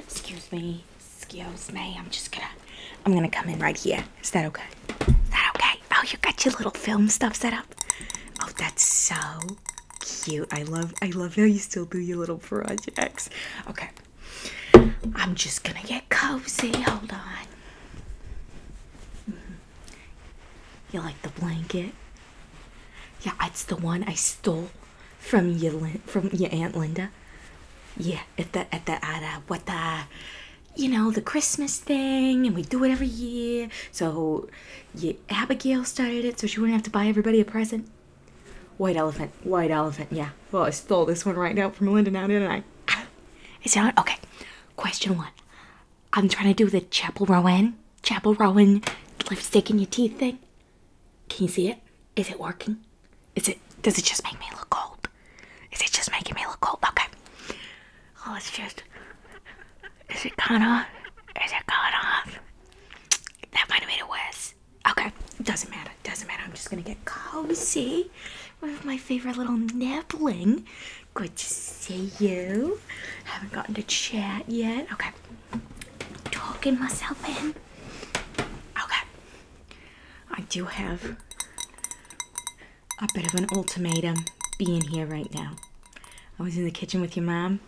Excuse me. Excuse me. I'm just gonna I'm gonna come in right here. Is that okay? Is that okay? Oh, you got your little film stuff set up. Oh, that's so cute. I love I love how you still do your little projects. Okay, I'm just gonna get cozy. Hold on. Mm-hmm. You like the blanket? Yeah, it's the one I stole from your from your aunt Linda. Yeah, at the at the uh, what the, you know, the Christmas thing, and we do it every year. So, yeah, Abigail started it, so she wouldn't have to buy everybody a present. White elephant, white elephant. Yeah. Well, I stole this one right now from Melinda now, and I? Is it on? Okay. Question one. I'm trying to do the Chapel Rowan, Chapel Rowan lipstick in your teeth thing. Can you see it? Is it working? Is it? Does it just make me look old? Is it just making me look old? Okay. Oh, it's just. Is it gone off? Is it gone off? That might have made it worse this? Okay, doesn't matter. Doesn't matter. I'm just gonna get cozy with my favorite little nibbling. Good to see you. Haven't gotten to chat yet. Okay, talking myself in. Okay, I do have a bit of an ultimatum being here right now. I was in the kitchen with your mom.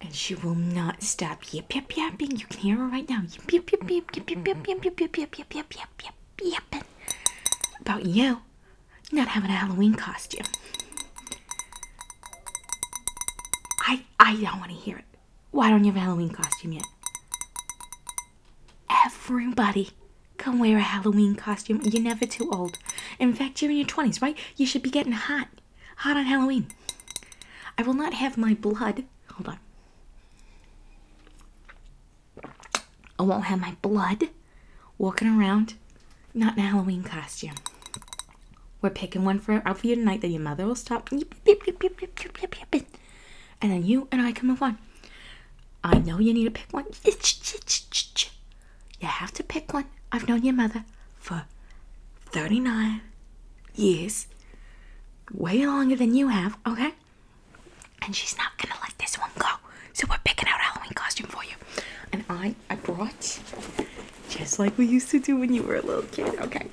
And she will not stop yip yip yapping. You can hear her right now. Yip yip yip yip yip yip yip yip yip yip yip yip yip yip yipping about you not having a Halloween costume. I I don't want to hear it. Why don't you have a Halloween costume yet? Everybody can wear a Halloween costume. You're never too old. In fact, you're in your 20s, right? You should be getting hot. Hot on Halloween. I will not have my blood. Hold on. I won't have my blood walking around not in a Halloween costume. We're picking one for out for you tonight that your mother will stop and then you and I can move on. I know you need to pick one. You have to pick one. I've known your mother for 39 years way longer than you have, okay? And she's not gonna let this one go. So we're picking out Halloween costume for you. And I, I brought, just like we used to do when you were a little kid, okay?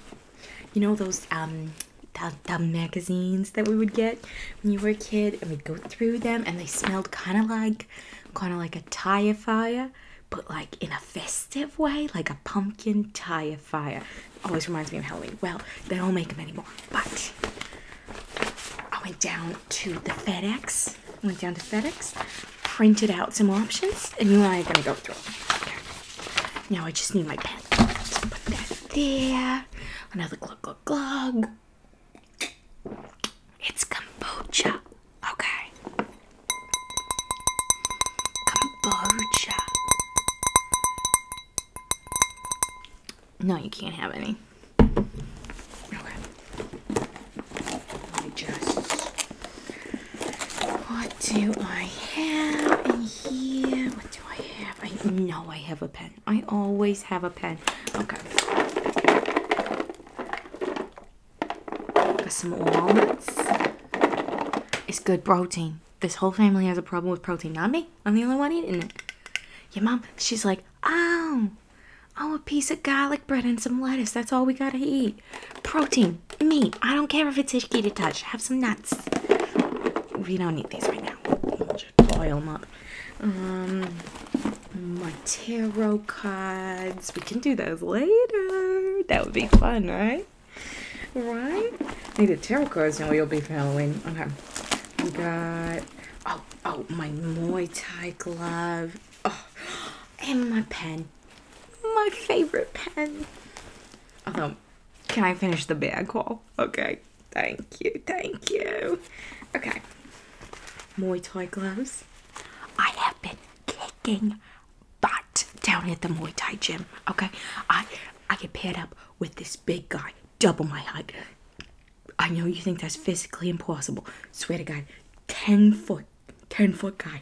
You know those, um, the, the magazines that we would get when you were a kid and we'd go through them and they smelled kind of like, kind of like a tire fire, but like in a festive way, like a pumpkin tire fire. Always reminds me of Halloween. Well, they don't make them anymore. But I went down to the FedEx. went down to FedEx, printed out some options, and you and I are gonna go through them. Now I just need my pen. put that there. Another glug glug glug. It's kombucha. Okay. Kombucha. No, you can't have any. Okay. I just. What do I have in here? What do I have? I know I have a pen. I always have a pen. Okay. some almonds. It's good protein this whole family has a problem with protein, not me. I'm the only one eating it. Your mom, she's like, oh, oh, a piece of garlic bread and some lettuce. That's all we gotta eat. Protein, meat. I don't care if it's icky to touch. Have some nuts. We don't need these right now. We'll boil them up. Um, Montero cards. We can do those later. That would be fun, right? right? Need Needed tarot cards now you'll be following. Okay. We got oh oh my Muay Thai glove. Oh and my pen. My favorite pen. Although can I finish the bag call? Okay. Thank you, thank you. Okay. Muay Thai gloves. I have been kicking but down at the Muay Thai gym, okay, I I get paired up with this big guy, double my height. I know you think that's physically impossible. Swear to God, ten foot, ten foot guy.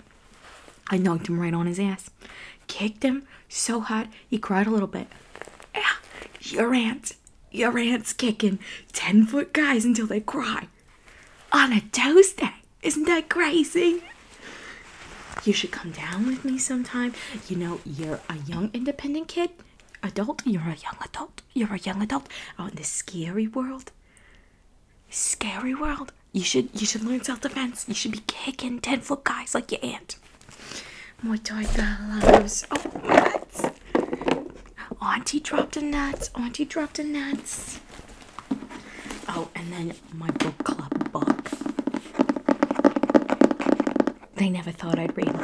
I knocked him right on his ass, kicked him so hard he cried a little bit. Yeah, your aunt, your aunt's kicking ten foot guys until they cry on a Tuesday. Isn't that crazy? You should come down with me sometime. You know, you're a young independent kid, adult, you're a young adult, you're a young adult out in this scary world. Scary world. You should you should learn self-defense. You should be kicking ten foot guys like your aunt. Muay Thai bellows. Oh nuts. Auntie dropped a nuts. Auntie dropped a nuts. Oh, and then my book club book. They never thought I'd read,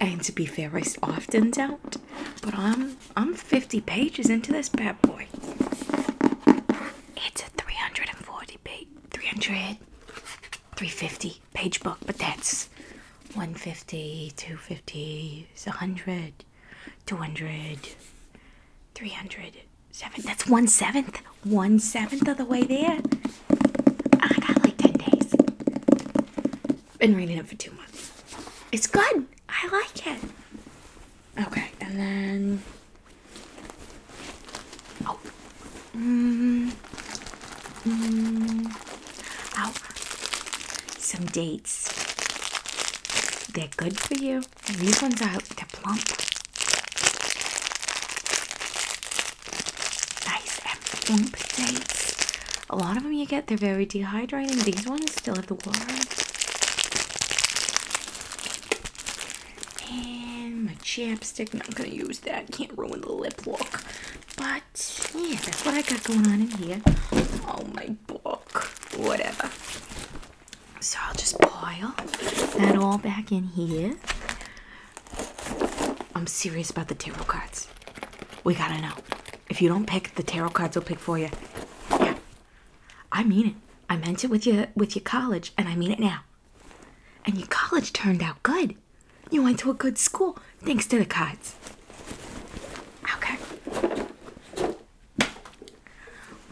and to be fair, I often don't. But I'm I'm 50 pages into this bad boy. It's a 340 page, 300, 350 page book, but that's 150, 250, 100, 200, 300 seven. That's one seventh. One seventh of the way there. I got like ten days. Been reading it for two months. It's good. I like it. Okay, and then oh, mm, mm, oh, some dates. They're good for you these ones are they're plump. Nice and plump dates. A lot of them you get they're very dehydrating. These ones still have the water. And my chapstick. No, I'm gonna use that. Can't ruin the lip look. But yeah, that's what I got going on in here. Oh my book. Whatever. So I'll just pile that all back in here. I'm serious about the tarot cards. We gotta know. If you don't pick, the tarot cards will pick for you. Yeah. I mean it. I meant it with your with your college, and I mean it now. And your college turned out good. You went to a good school thanks to the cards. Okay.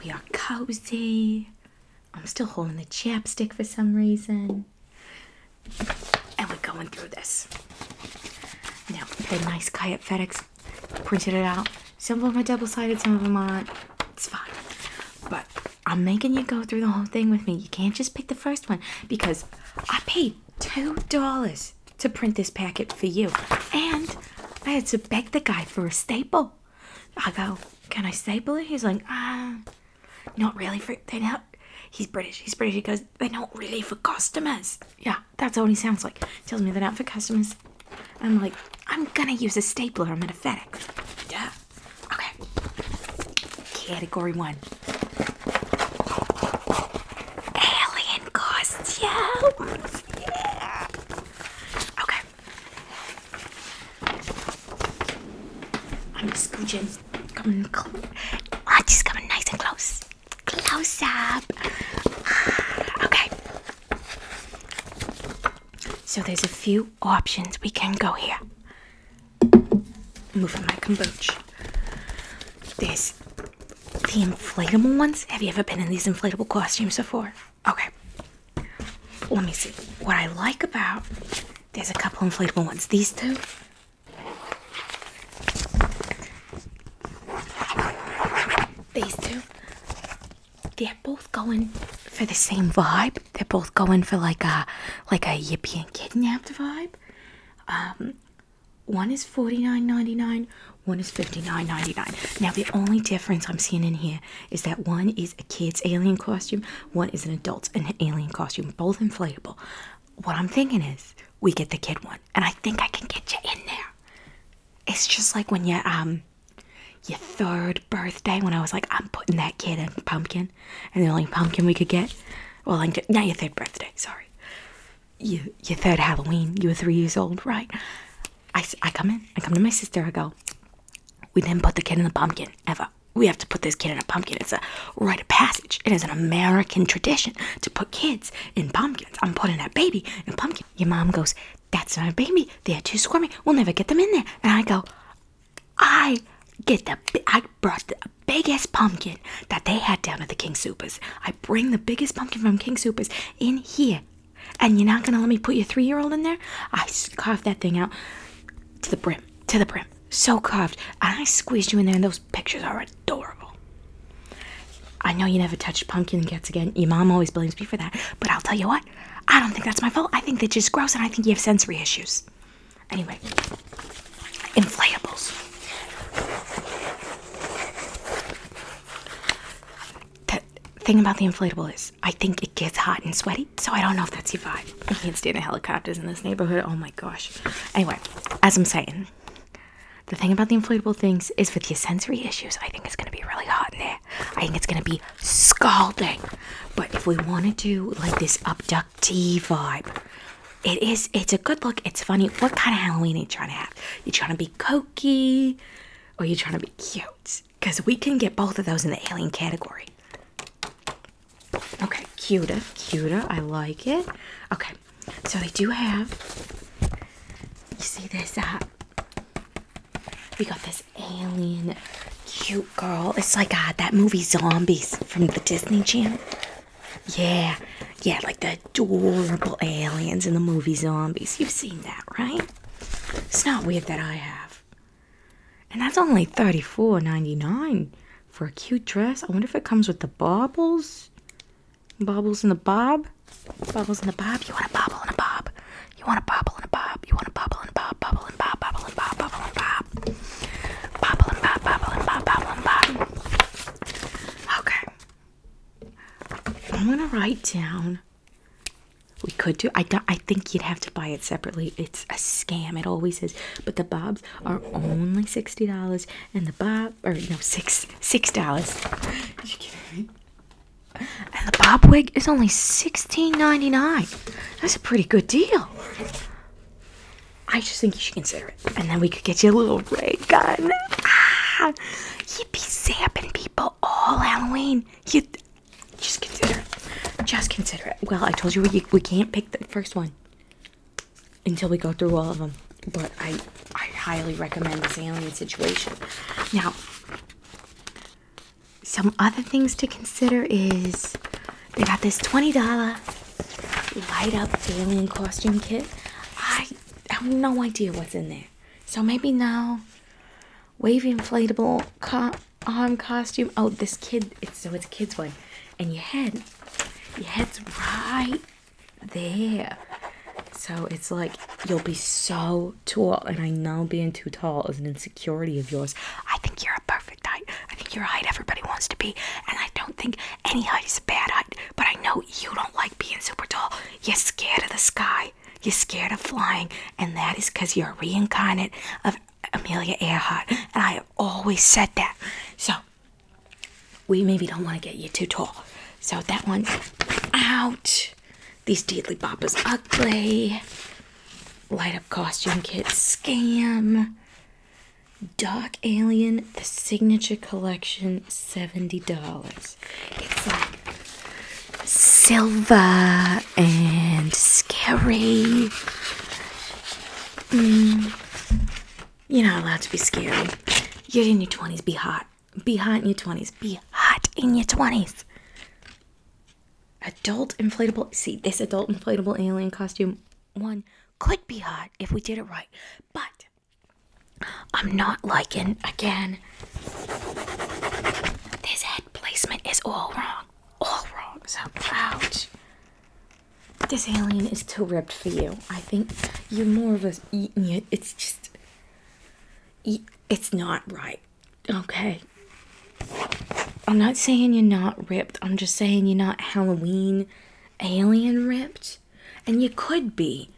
We are cozy. I'm still holding the chapstick for some reason. And we're going through this. Now, the nice guy at FedEx printed it out. Some of them are double sided, some of them aren't. It's fine. But I'm making you go through the whole thing with me. You can't just pick the first one because I paid $2 to print this packet for you. And I had to beg the guy for a staple. I go, can I staple it? He's like, ah, not really. For they He's British. He's British. He goes, they're not really for customers. Yeah, that's all he sounds like. Tells me they're not for customers. I'm like, I'm gonna use a stapler. I'm at a FedEx. Yeah. Okay. Category one. Alien costumes. Okay. I'm scooching. Come on, come on. Oh, just coming, nice and close. Close up. Okay. So there's a few options we can go here. Moving my kombucha. There's the inflatable ones. Have you ever been in these inflatable costumes before? Okay. Let me see. What I like about there's a couple inflatable ones. These two. These two. They're both going for the same vibe. They're both going for like a like a yippee and kidnapped vibe. Um one is forty nine ninety nine. one is fifty nine ninety nine. Now the only difference I'm seeing in here is that one is a kid's alien costume, one is an adult's an alien costume, both inflatable. What I'm thinking is we get the kid one, and I think I can get you in there. It's just like when you um your third birthday when I was like, I'm putting that kid in pumpkin, and the only pumpkin we could get. Well, like now your third birthday, sorry. You your third Halloween, you were three years old, right? I I come in, I come to my sister, I go, we didn't put the kid in the pumpkin ever. We have to put this kid in a pumpkin. It's a rite of passage. It is an American tradition to put kids in pumpkins. I'm putting that baby in a pumpkin. Your mom goes, That's not a baby. They're too squirmy. We'll never get them in there. And I go, I get the I brought the biggest pumpkin that they had down at the King Supers. I bring the biggest pumpkin from King Supers in here and you're not gonna let me put your three-year-old in there i carved that thing out to the brim to the brim so coughed, and i squeezed you in there and those pictures are adorable i know you never touched pumpkin cats again your mom always blames me for that but i'll tell you what i don't think that's my fault i think that just gross and i think you have sensory issues anyway inflatables the thing about the inflatable is I think it gets hot and sweaty, so I don't know if that's your vibe. I can't stand the helicopters in this neighborhood. Oh my gosh. Anyway, as I'm saying, the thing about the inflatable things is with your sensory issues, I think it's gonna be really hot in there. I think it's gonna be scalding. But if we want to do like this abductee vibe, it is it's a good look, it's funny. What kind of Halloween are you trying to have? You trying to be cokey or you trying to be cute? because we can get both of those in the alien category. Okay, cuta, cuta. I like it. Okay, so they do have. You see this? Uh, we got this alien cute girl. It's like uh, that movie Zombies from the Disney Channel. Yeah, yeah, like the adorable aliens in the movie Zombies. You've seen that, right? It's not weird that I have. And that's only $34.99 for a cute dress. I wonder if it comes with the baubles. Baubles and the bob. Baubles and the bob. You want a bobble and a bob. You want a bobble and a bob. You want a bobble and a bob. Bobble and bob. Bobble and bob. Bobble and bob. Bobble and bob. Bobble and bob. Bobble and bob. Okay. I'm going to write down we could do. I don't, I think you'd have to buy it separately. It's a scam. It always is. But the bobs are only sixty dollars, and the bob or no six six dollars. You kidding me? And the bob wig is only sixteen ninety nine. That's a pretty good deal. I just think you should consider it, and then we could get you a little ray gun. Ah, you'd be zapping people all Halloween. You just consider it. Just consider it. Well, I told you we, can't pick the first one until we go through all of them. But I, I highly recommend this alien situation. Now, some other things to consider is they got this $20 light up alien costume kit. I have no idea what's in there. So maybe no wavy inflatable co arm costume. Oh, this kid. It's so it's a kid's one, and your head, your head's right there. So it's like you'll be so tall, and I know being too tall is an insecurity of yours. I think you're a perfect height. I think you're a height everybody wants to be, and I don't think any height is a bad height. But I know you don't like being super tall. You're scared of the sky you're scared of flying, and that is because you're a reincarnate of Amelia Earhart. And I have always said that. So, we maybe don't want to get you too tall. So, that one's out. These Deedly Boppers ugly. Light Up Costume Kit Scam. Doc Alien, the Signature Collection, $70. It's like silver and scary. Mm. you're not allowed to be scary. You're in your 20s. Be hot. Be hot in your 20s. Be hot in your 20s. Adult inflatable. See, this adult inflatable alien costume one could be hot if we did it right. But I'm not liking, again, this head placement is all wrong all wrong. So, ouch. This alien is too ripped for you. I think you're more of a. eating it. It's just. It's not right. Okay. I'm not saying you're not ripped. I'm just saying you're not Halloween alien ripped. And you could be.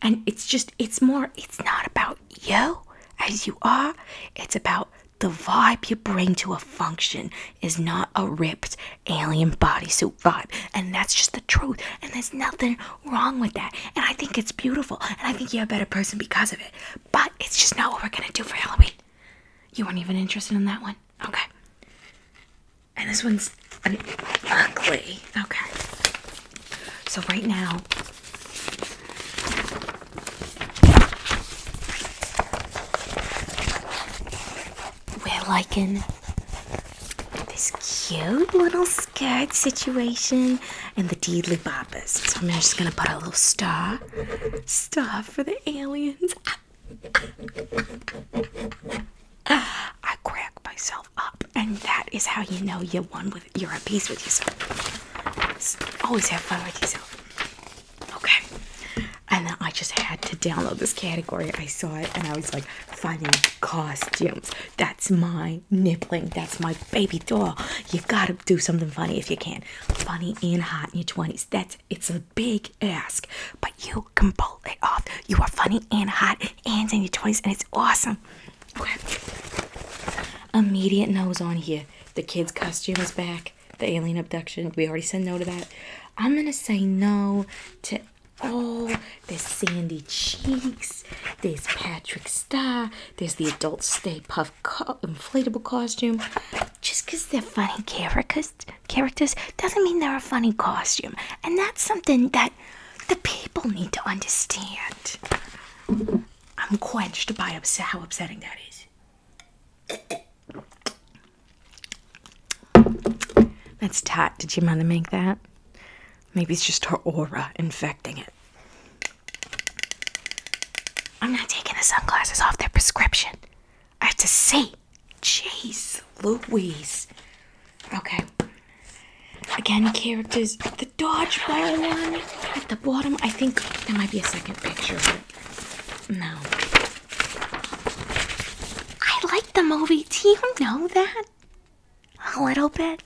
And it's just, it's more, it's not about you as you are. It's about the vibe you bring to a function is not a ripped alien bodysuit vibe. And that's just the truth. And there's nothing wrong with that. And I think it's beautiful. And I think you're a better person because of it. But it's just not what we're going to do for Halloween. You weren't even interested in that one? Okay. And this one's ugly. Okay. So right now, we're liking this cute little skirt situation and the deedly boppers. So I'm just gonna put a little star, star for the aliens. I crack myself up, and that is how you know you're with you're at peace with yourself. Always have fun with yourself. Okay. And then I just had to download this category. I saw it and I was like, funny costumes. That's my nippling. That's my baby doll. You gotta do something funny if you can. Funny and hot in your 20s. That's it's a big ask. But you can pull it off. You are funny and hot and in your 20s and it's awesome. Okay. Immediate nose on here. The kid's costume is back. The alien abduction. We already said no to that. I'm gonna say no to all oh, Sandy Cheeks, there's Patrick Star, there's the adult Stay Puff inflatable costume. Just because they're funny characters, characters doesn't mean they're a funny costume, and that's something that the people need to understand. I'm quenched by how upsetting that is. That's tight. Did your mother make that? Maybe it's just her aura infecting it. I'm not taking the sunglasses off their prescription. I have to see. Jeez, Louise. Okay. Again, characters. The dodgeball one at the bottom, I think there might be a second picture, but no. I like the movie. Do you know that? A little bit.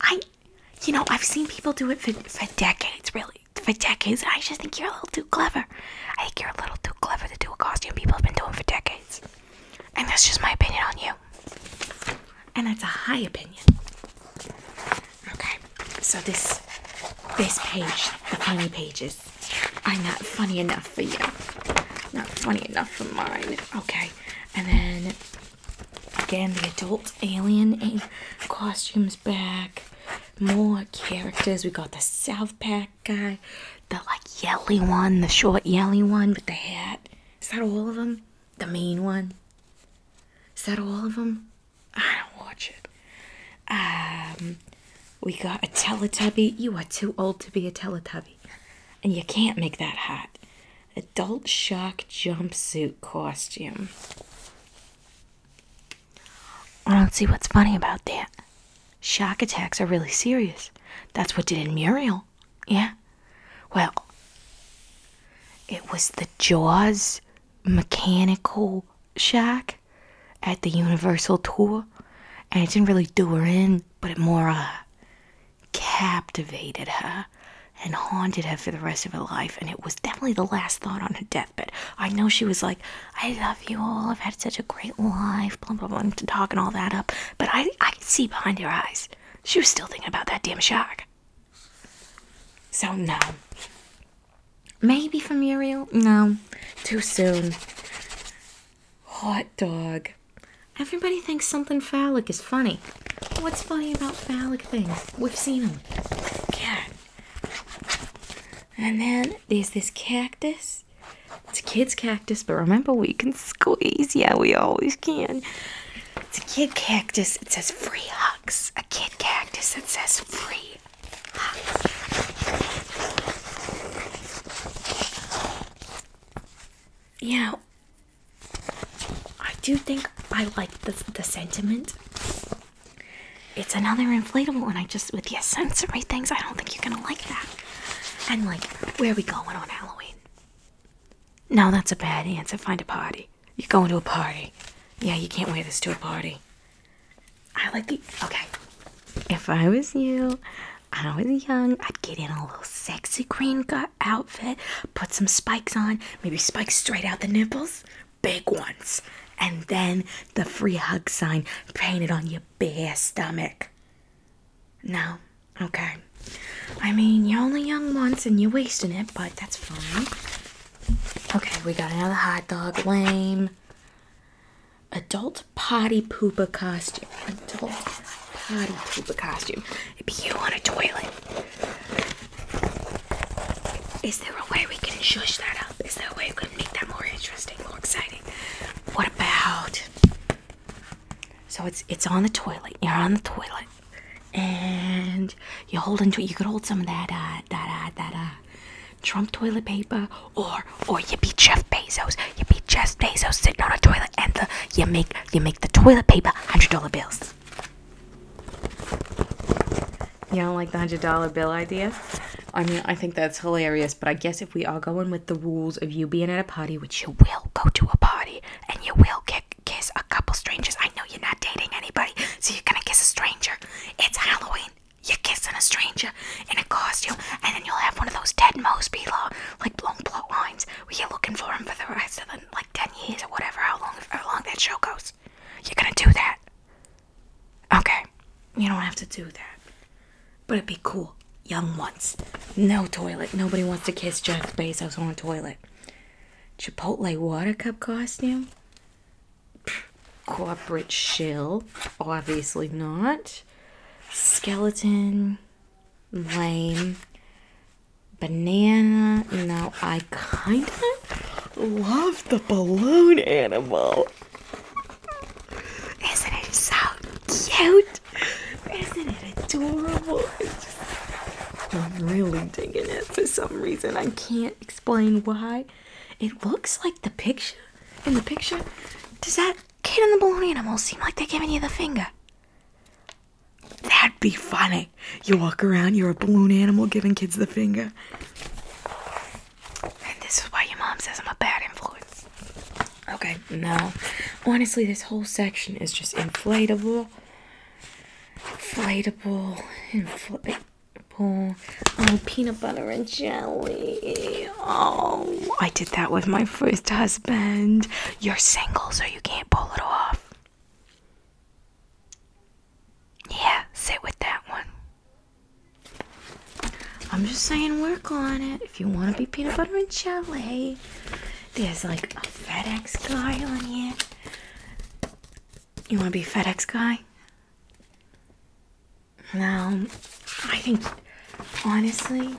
I, you know, I've seen people do it for, for decades, really. For decades, I just think you're a little too clever. I think you're a little too clever to do a costume people have been doing for decades. And that's just my opinion on you. And that's a high opinion. Okay, so this this page, the funny pages, I'm not funny enough for you. Not funny enough for mine. Okay, and then again the adult alien costumes back. More characters. We got the South Pack guy, the like yelly one, the short yelly one with the hat. Is that all of them? The main one. Is that all of them? I don't watch it. Um, we got a Teletubby. You are too old to be a Teletubby, and you can't make that hat Adult Shark jumpsuit costume. I don't see what's funny about that. Shark attacks are really serious. That's what did in Muriel. Yeah. Well, it was the jaws mechanical shack at the Universal tour, and it didn't really do her in, but it more uh, captivated her and haunted her for the rest of her life. And it was definitely the last thought on her deathbed. I know she was like, "I love you all. I've had such a great life." Blah blah blah, and talking all that up, but I I could see behind your eyes she was still thinking about that damn shark. So no, Maybe for Muriel. No, too soon. Hot dog. Everybody thinks something phallic is funny. What's funny about phallic things? We've seen them. God. And then there's this cactus. It's a kid's cactus, but remember we can squeeze. Yeah, we always can. It's a kid cactus. It says free hugs. A kid kid cactus that says free. Yeah, I do think I like the, the sentiment. It's another inflatable, and I just, with the sensory things, I don't think you're gonna like that. And, like, where are we going on Halloween? No, that's a bad answer. Find a party. You're going to a party. Yeah, you can't wear this to a party. I like the. Okay. If I was you, I was young, I'd get in a little sexy green outfit, put some spikes on, maybe spikes straight out the nipples, big ones, and then the free hug sign painted on your bare stomach. No? Okay. I mean, you're only young once and you're wasting it, but that's fine. Okay, we got another hot dog. Lame. Adult potty pooper costume. Adult potty pooper costume. it you on a toilet. Is there a way we can shush that up? Is there a way we can make that more interesting, more exciting? What about? So it's it's on the toilet. You're on the toilet and you hold into you could hold some of that uh, that uh, that uh, Trump toilet paper, or or you beat Jeff Bezos, you beat Jeff Bezos sitting on a toilet, and the, you make you make the toilet paper hundred dollar bills. You don't like the hundred dollar bill idea? I mean, I think that's hilarious, but I guess if we are going with the rules of you being at a party, which you will go to a party, and you will kick, kiss a couple strangers. I know you're not dating anybody, so you're gonna kiss a stranger. It's Halloween. You're kissing a stranger in a costume, and then you'll have one of those dead Mosby be like long plot lines, where you're looking for him for the rest of the like ten years or whatever, how long how long that show goes. You're gonna do that. Okay, you don't have to do that, but it'd be cool. Young ones, no toilet. Nobody wants to kiss Jeff Bezos on a toilet. Chipotle water cup costume. Corporate shell, obviously not. Skeleton, lame. Banana, now I kind of love the balloon animal. Isn't it so cute? Isn't it adorable? I'm really digging it for some reason. I can't explain why. It looks like the picture. In the picture, does that kid and the balloon animal seem like they're giving you the finger? That'd be funny. You walk around, you're a balloon animal giving kids the finger. And this is why your mom says I'm a bad influence. Okay, no. Honestly, this whole section is just inflatable. Inflatable. Infl Oh, peanut butter and jelly. Oh, I did that with my first husband. You're single, so you can't pull it off. Yeah, sit with that one. I'm just saying, work on it. If you want to be peanut butter and jelly, there's like a FedEx guy on here. You want to be FedEx guy? Now, I think honestly,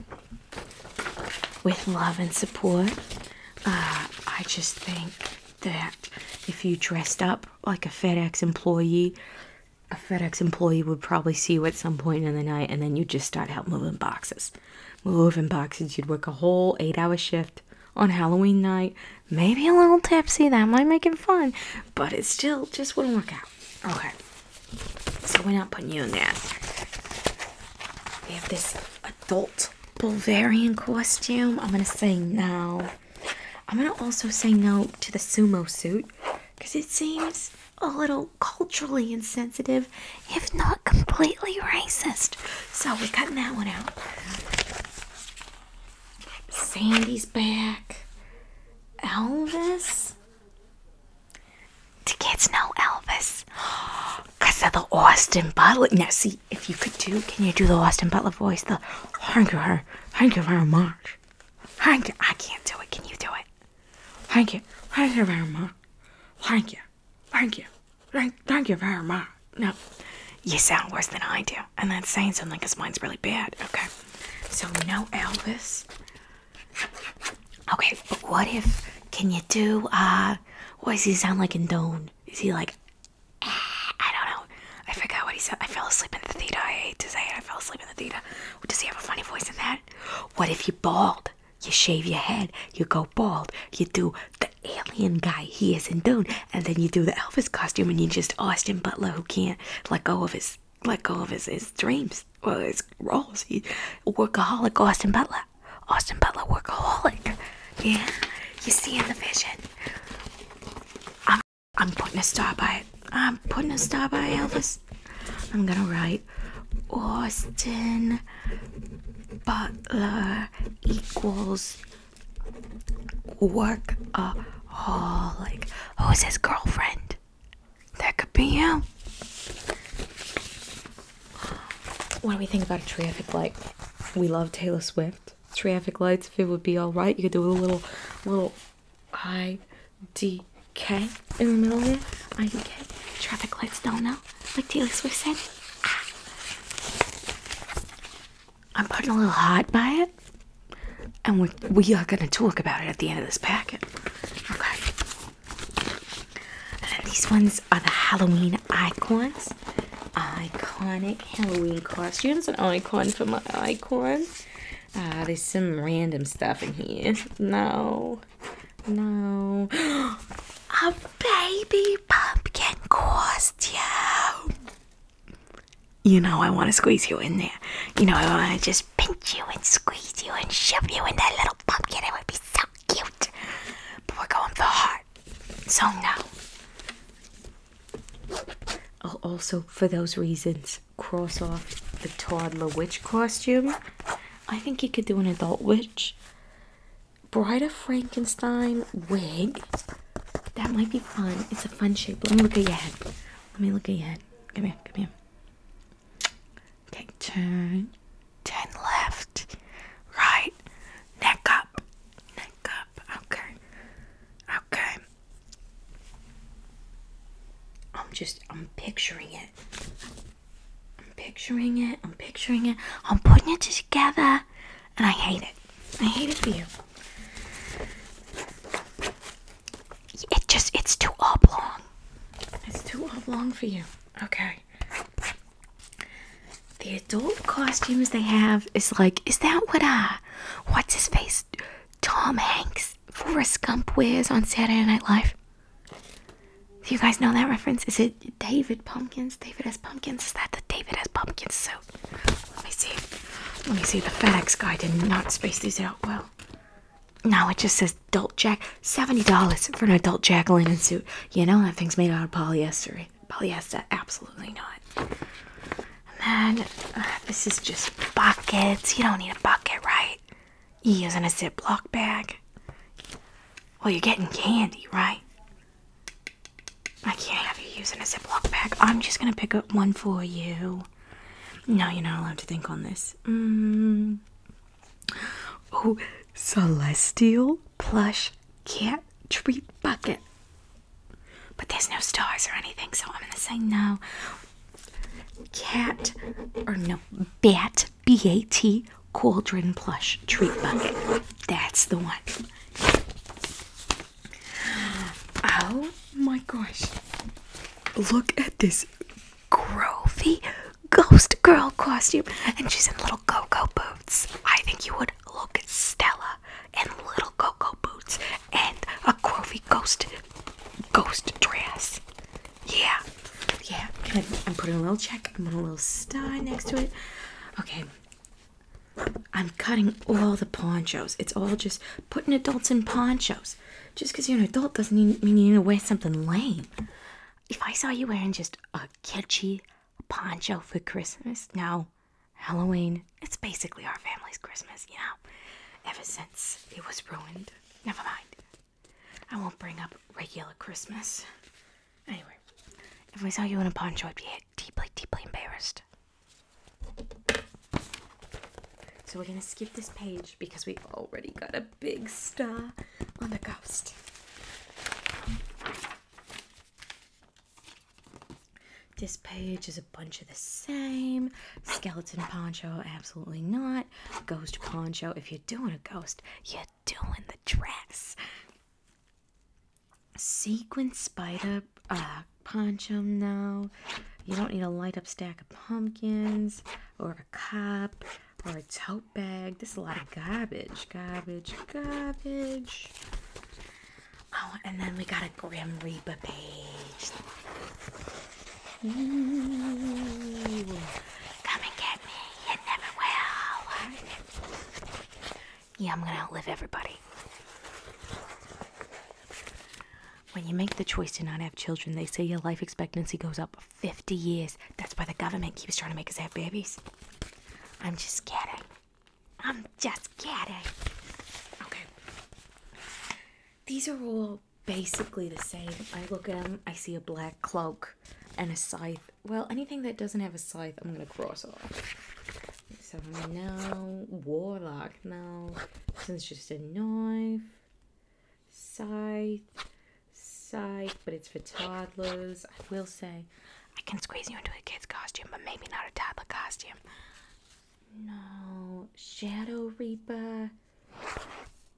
with love and support, uh, I just think that if you dressed up like a FedEx employee, a FedEx employee would probably see you at some point in the night, and then you'd just start out moving boxes. Moving boxes, you'd work a whole eight hour shift on Halloween night. Maybe a little tipsy, that might make it fun, but it still just wouldn't work out. Okay, so we're not putting you in that. We have this adult Bulgarian costume. I'm gonna say no. I'm gonna also say no to the sumo suit because it seems a little culturally insensitive, if not completely racist. So we're cutting that one out. Sandy's back. Elvis? Do kids know Elvis? Because of the Austin Butler. Now, see, if you could do, can you do the Austin Butler voice? The hunger her, hunger very much. Hunger, I can't do it. Can you do it? Thank you, thank you very thank you very much. No, you sound worse than I do, and that's saying something because mine's really bad. Okay, so no Elvis. Okay, but what if? Can you do? Uh, what does he sound like in Dune? Is he like? Ah, I don't know. I forgot what he said. I fell asleep in the theater. I hate to say it. I fell asleep in the theater. Does he have a funny voice in that? What if you bald? You shave your head. You go bald. You do the alien guy he is in Dune and then you do the Elvis costume, and you just Austin Butler who can't let go of his let go of his, his dreams Well, it's roles. He, workaholic Austin Butler, Austin Butler workaholic. Yeah, you see in the vision. I'm I'm putting a star by it. I'm putting a star by Elvis. I'm gonna write Austin Butler equals Work a like Who's his girlfriend? That could be him. What do we think about a traffic light? We love Taylor Swift. Traffic lights, if it would be alright, you could do a little, little I D K in the middle of it. I D K. Traffic lights don't know, like Taylor Swift said. Ah. I'm putting a little hot by it, and we, we are going to talk about it at the end of this packet. Okay. these ones are the Halloween icons. Iconic Halloween costumes. An icon for my icons. Uh, ah, there's some random stuff in here. No. No. a baby pumpkin costume. You know, I want to squeeze you in there. You know, I want to just pinch you and squeeze you and shove you in that little pumpkin. It would be so cute. But we're going for the So no. I'll also, for those reasons, cross off the toddler witch costume. I think you could do an adult witch. Bride Frankenstein wig. That might be fun. It's a fun shape. Let me look at your head. Let me look at your head. Come here, come here. Okay, turn. Turn left. Right. Neck up. Neck up. Okay. Okay. I'm just I'm picturing it. I'm picturing it. I'm picturing it. I'm putting it together and I hate it. I hate it for you. It just, it's too oblong. It's too oblong for you. Okay. The adult costumes they have is like, is that what, a? Uh, what's his face? Tom Hanks, Forrest Gump wears on Saturday Night Live. you guys know that reference? Is it David Pumpkins? David as Pumpkins? Is that the David as Pumpkins suit? Let me see. Let me see. The FedEx guy did not space these out well. Now it just says adult jack $70 for an adult jack-o'-lantern suit. You know that thing's made out of polyester. Polyester, absolutely not. And then uh, this is just buckets. You don't need a bucket, right? you using a ziplock bag. Well, you're getting candy, right? I can't have you using a ziplock bag. I'm just gonna pick up one for you. No, you're not allowed to think on this. Oh, celestial plush cat treat bucket. But there's no stars or anything, so I'm gonna say no. Cat, or no, bat, B A T, cauldron plush treat bucket. That's the one. Oh my gosh. Look at this groovy ghost girl costume. And she's in little go boots. I think you would look at Stella in little go boots and a groovy ghost ghost dress. Yeah. Yeah. I'm putting a little check. I'm putting a little star next to it. Okay. I'm cutting all the ponchos. It's all just putting adults in ponchos. Just because you're an adult doesn't mean you need to wear something lame. If I saw you wearing just a kitschy poncho for Christmas, no, Halloween, it's basically our family's Christmas, you know, ever since it was ruined. Never mind. I won't bring up regular Christmas. Anyway, if I saw you in a poncho, I'd be deeply, deeply embarrassed. So we're gonna skip this page because we've already got a big star on the ghost. This page is a bunch of the same. Skeleton poncho, absolutely not. Ghost poncho, if you're doing a ghost, you're doing the dress. Sequin spider uh, ponchum now. You don't need a light up stack of pumpkins or a cup or a tote bag. This is a lot of garbage, garbage, garbage. Oh, and then we got a Grim Reaper page. Come and get me, you never will yeah, I'm gonna outlive everybody. When you make the choice to not have children, they say your life expectancy goes up 50 years. That's why the government keeps trying to make us have babies. I'm just kidding. I'm just kidding. Okay. These are all basically the same. I look at them, I see a black cloak and a scythe. Well, anything that doesn't have a scythe, I'm gonna cross off. So now, warlock back now since just a knife, scythe, scythe, but it's for toddlers. I will say, I can squeeze you into a kid's costume, but maybe not a toddler costume. No, Shadow Reaper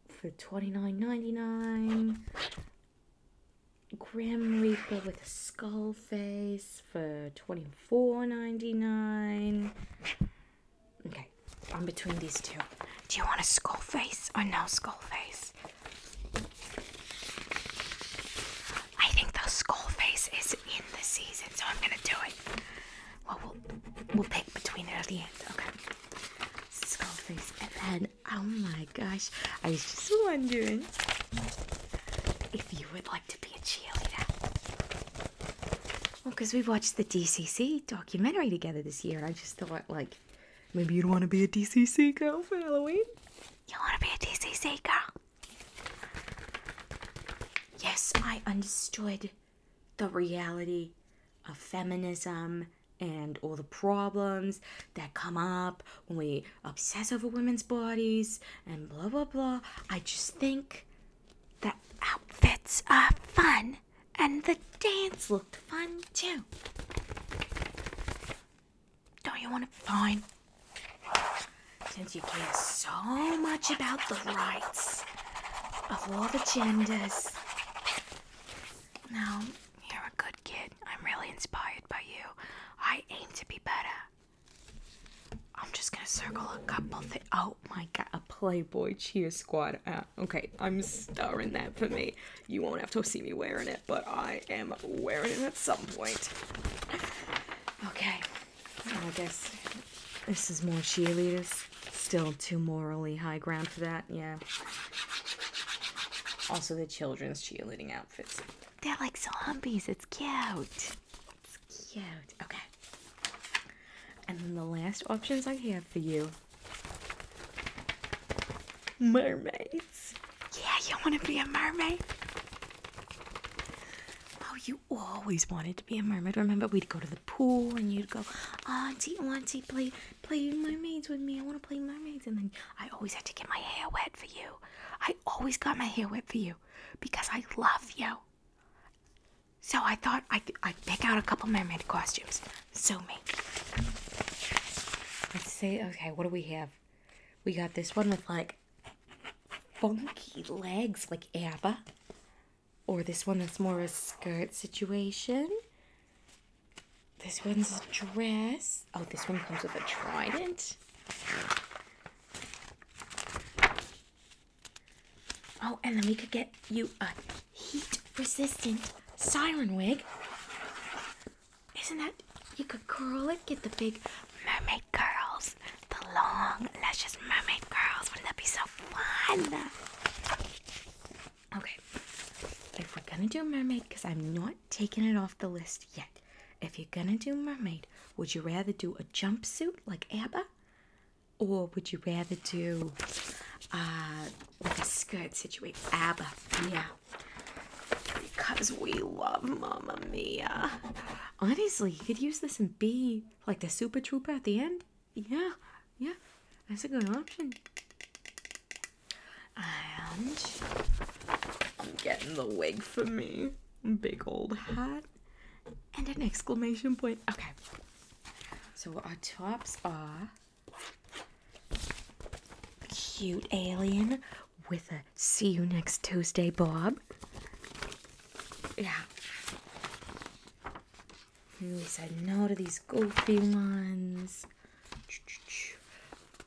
for twenty nine ninety nine. Grim Reaper with a skull face. It's for twenty four ninety nine. Okay, I'm between these two. Do you want a skull face or no skull face? I think the skull face is in the season, so I'm gonna do it. Well, we'll, we'll pick between it at the end. Okay. Skull face. And then, oh my gosh, I was just wondering if you would like to be a cheerleader. Well, because we watched the DCC documentary together this year, and I just thought, like, maybe you'd want to be a DCC girl for Halloween. You want to be a DCC girl? Yes, I understood the reality of feminism and all the problems that come up when we obsess over women's bodies and blah blah blah. I just think the outfits are fun and the dance looked fun too. Don't you want to? Fine. Since you care so much about the rights of all the genders. now you're a good kid. I'm really inspired by you. I aim to be better. I'm just gonna circle a couple things. Oh my god, a Playboy cheer squad. okay, I'm starring that for me. You won't have to see me wearing it, but I am wearing it at some point. Okay, I guess this is more cheerleaders. Still too morally high ground for that, yeah. Also, the children's cheerleading outfits. They're like zombies, it's cute cute. Okay. And then the last options I have for you mermaids. Yeah, you want to be a mermaid? Oh, you always wanted to be a mermaid. Remember, we'd go to the pool and you'd go, Auntie, Auntie, play, play mermaids with me. I want to play mermaids. And then I always had to get my hair wet for you. I always got my hair wet for you because I love you. So I thought I, I'd pick out a couple mermaid costumes. So me. Let's see. Okay, what do we have? We got this one with like funky legs, like ABBA. Or this one that's more a skirt situation. This one's a dress. Oh, this one comes with a trident. Oh, and then we could get you a heat resistant siren wig. Isn't that? You could curl it, get the big mermaid curls, the long, luscious mermaid curls. Wouldn't that be so fun? Okay, if we're gonna do mermaid, because I'm not taking it off the list yet. If you're gonna do mermaid, would you rather do a jumpsuit like ABBA? Or would you rather do uh, like a skirt situation? ABBA, yeah. Because we love Mamma Mia. Honestly, you could use this and be like the Super Trooper at the end. Yeah, yeah, that's a good option. And I'm getting the wig for me. Big old hat and an exclamation point. Okay. So our tops are cute alien with a see you next Tuesday, Bob. Yeah. Really said no to these goofy ones.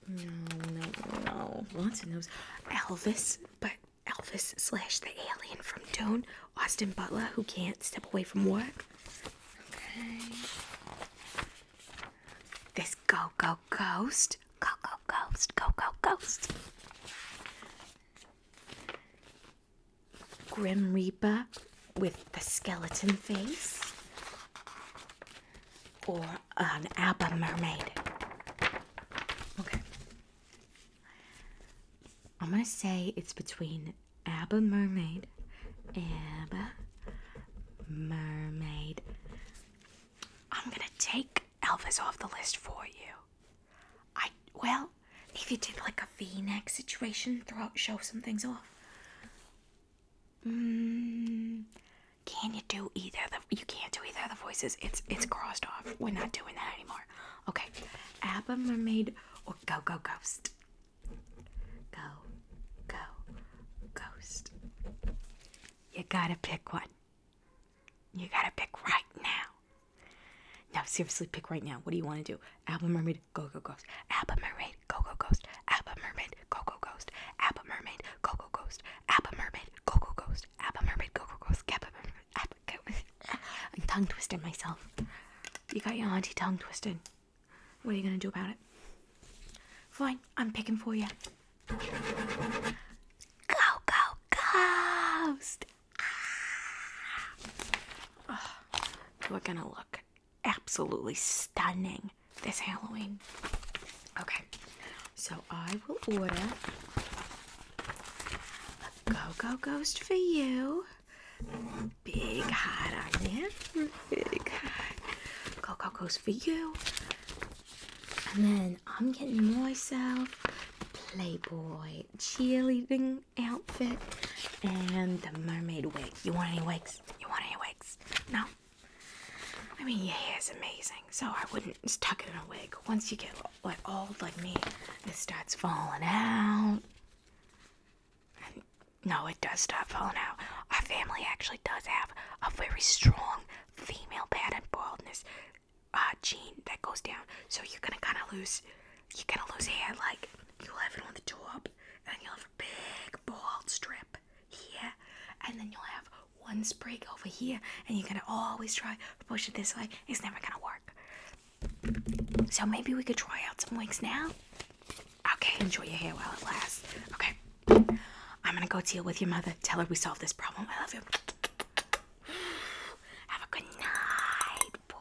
No, no, no. Lots of those. Elvis, but Elvis slash the alien from Dune, Austin Butler, who can't step away from work. Okay. This go go ghost, go go ghost, go go ghost. Grim Reaper with the skeleton face, or an ABBA mermaid. Okay. I'm gonna say it's between ABBA Mermaid, ABBA Mermaid. I'm gonna take Elvis off the list for you. I, well, if you did like a v neck situation, throw out, show some things off. Mm, can you do either? The, you can't do either of the voices. It's it's crossed off. We're not doing that anymore more. Okay, Abba Mermaid or Go Go Ghost? Go Go Ghost. You gotta pick one. You gotta pick right now. No, seriously, pick right now. What do you want to do? Abba Mermaid, Go Go Ghost. Abba Mermaid, Go Go Ghost. Abba Mermaid, Go Go Ghost. Abba Mermaid, Go Go Ghost. Abba Mermaid, Go Go Ghost. Abba Mermaid, Go Go Ghost. Abba Mermaid, I'm tongue twisting myself. You got your auntie tongue twisting. What are you gonna do about it? Fine, I'm picking for you. Go, go, ghost! Ah. we're gonna look absolutely stunning this Halloween. Okay, so I will order Go, go, ghost for you. Big hot on you. Big heart. Go, go, ghost for you. And then I'm getting myself Playboy cheerleading outfit and the mermaid wig. You want any wigs? You want any wigs? No? I mean, your hair's amazing, so I wouldn't just tuck it in a wig. Once you get like old like me, it starts falling out. no, it does start falling out. Our family actually does have a very strong female pattern baldness uh, gene that goes down. So you're gonna kind of lose, you're gonna lose hair. Like you'll have it on the top, and you'll have a big bald strip here, and then you'll have one sprig over here, and you're gonna always try push it this way, it's never gonna work. So maybe we could try out some wigs now. Okay, enjoy your hair while it lasts. Okay, I'm gonna go deal with your mother. Tell her we solved this problem. I love you. Have a good night, boy.